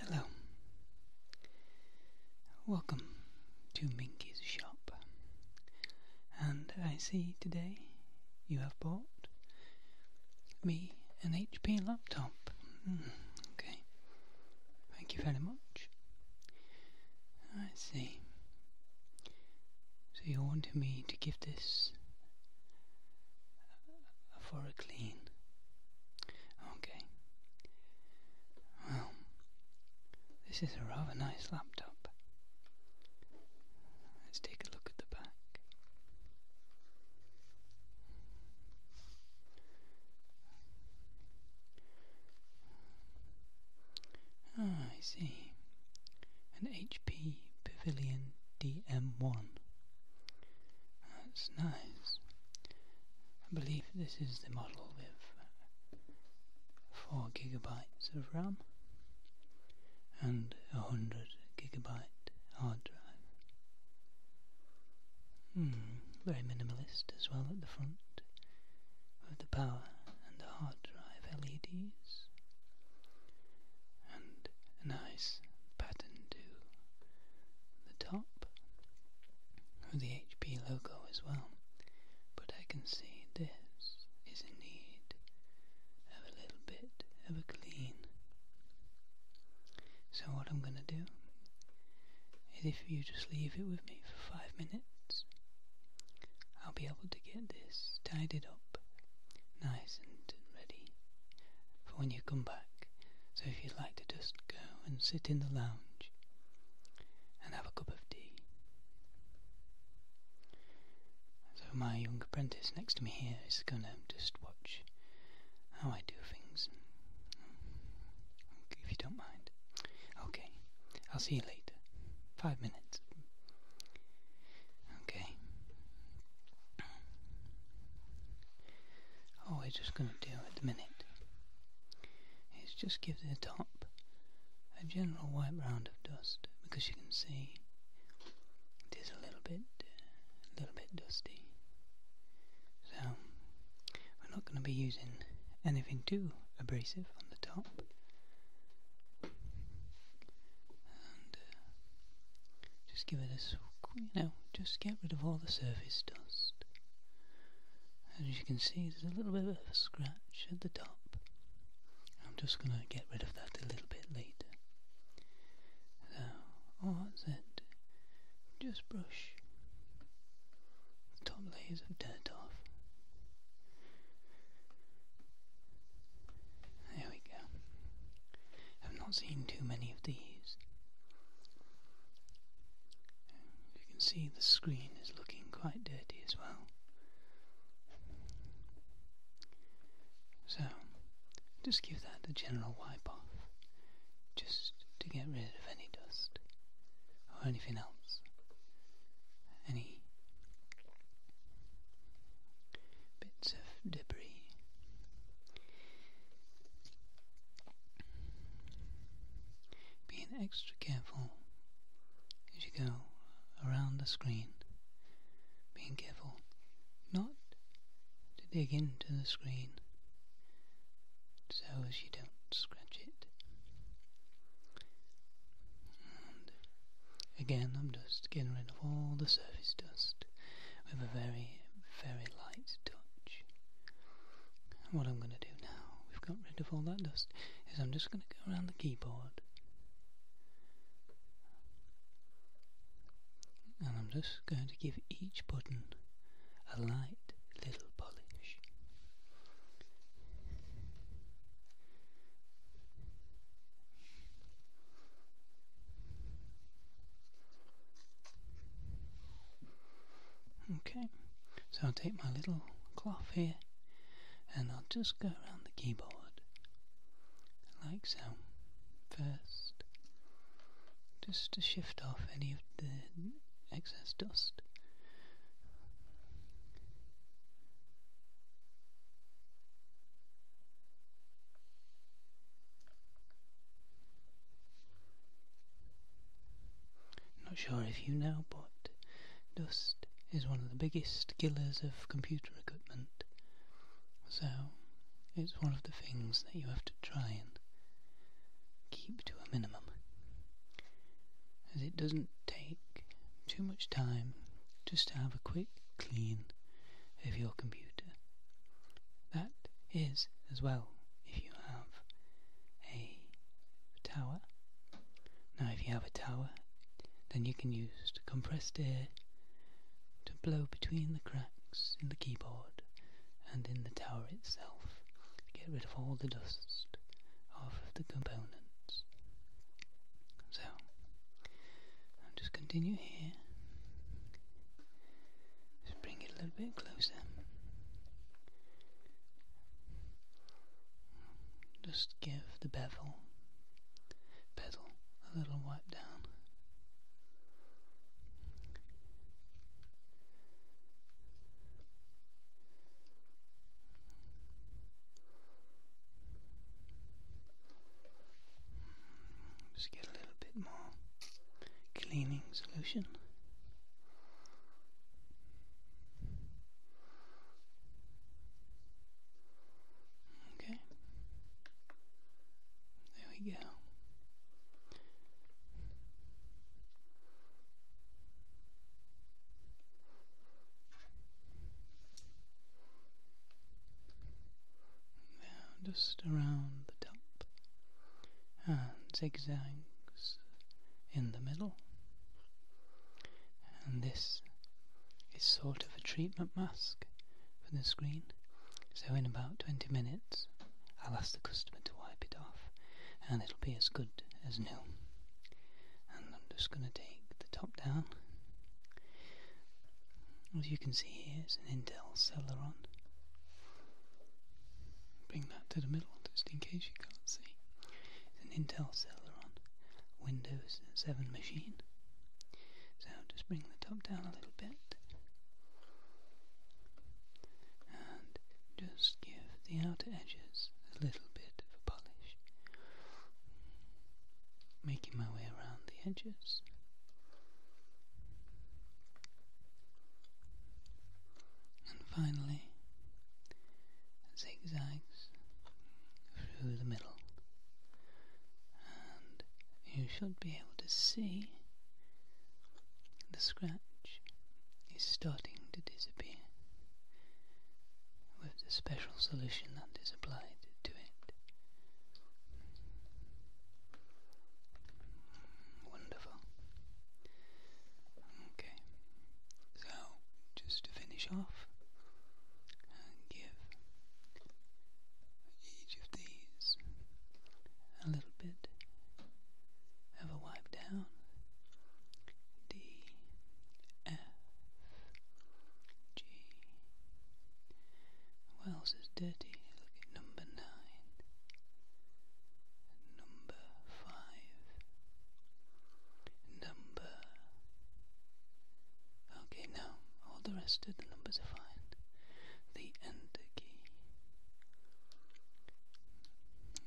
Hello. Welcome to Minky's shop. And I see today you have bought me an HP laptop. Hmm, okay. Thank you very much. I see. So you wanted me to give this uh, for a clean. Okay. Well, this is a rather nice laptop. Let's take a look at the back. Ah, I see. An HP Pavilion DM1. That's nice. I believe this is the model with 4 gigabytes of RAM and a 100 gigabyte hard drive. Hmm, very minimalist as well at the front, with the power and the hard drive LEDs, and a nice pattern to the top with the HP logo as well. But I can see this is in need of a little bit of a clean. So what I'm going to do is if you just leave it with me for five minutes, I'll be able to get this tidied up nice and ready for when you come back. So if you'd like to just go and sit in the lounge and have a cup of tea. So my young apprentice next to me here is going to just watch how oh, I do things. If you don't mind. Okay, I'll see you later. Five minutes. Okay. All we're just going to do at the minute is just give the top a general white round of dust because you can see it is a little little bit, a little bit dusty. So we're not going to be using anything too abrasive on the top. Uh, just give it a, you know, just get rid of all the surface dust. As you can see, there's a little bit of a scratch at the top. I'm just going to get rid of that a little bit later. So, oh, Just brush the top layers of dirt off. There we go. I've not seen too many of these. You can see the screen is looking quite dirty as well. So, just give that a general wipe off, just to get rid of any dust or anything else, any bits of debris. Being extra careful as you go around the screen being careful not to dig into the screen so as you don't scratch it. again, I'm just getting rid of all the surface dust with a very, very light touch. And what I'm going to do now, we've got rid of all that dust, is I'm just going to go around the keyboard and I'm just going to give each button a light little polish. Okay, so I'll take my little cloth here and I'll just go around the keyboard like so. First, just to shift off any of the excess dust. Not sure if you know, but Dust is one of the biggest killers of computer equipment, so it's one of the things that you have to try and keep to a minimum, as it doesn't take too much time just to have a quick clean of your computer. That is as well if you have a tower. Now, if you have a tower, then you can use compressed air to blow between the cracks in the keyboard and in the tower itself to get rid of all the dust of the components. So, I'll just continue here. Just bring it a little bit closer. Just give the bevel, bezel, a little wipe down. Just get a little bit more cleaning solution. Okay. There we go. Now just around the top and zigzags in the middle. And this is sort of a treatment mask for the screen. So in about 20 minutes, I'll ask the customer to wipe it off and it'll be as good as new. And I'm just going to take the top down. As you can see here, it's an Intel Celeron Bring that to the middle just in case you can't see. It's an Intel Celeron Windows 7 machine. So just bring the top down a little bit and just give the outer edges a little bit of a polish. Making my way around the edges and finally zigzags through the middle, and you should be able to see the scratch is starting to disappear with the special solution that is applied to it. Wonderful. Okay, so just to finish off give each of these a little bit of a wipe down. D F G. What else is dirty? number nine, number five, number. Okay, now all the rest of the numbers are fine. The enter key.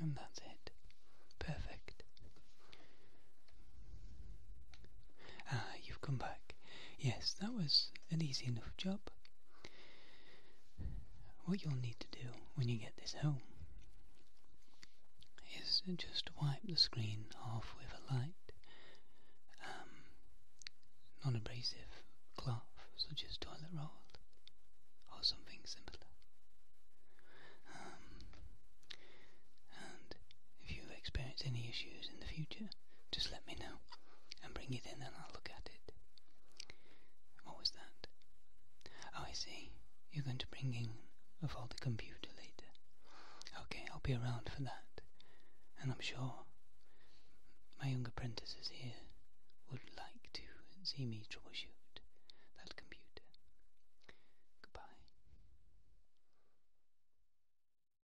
And that's it. Perfect. Ah, you've come back. Yes, that was an easy enough job. What you'll need to do when you get this home is just wipe the screen off with a light, um, non abrasive cloth such as toilet roll or something similar. Um, and if you experience any issues in the future, just let me know and bring it in and I'll look at it. What was that? Oh, I see. You're going to bring in a faulty computer later. Okay, I'll be around for that. And I'm sure my young apprentices here would like to see me troubleshoot that computer. Goodbye.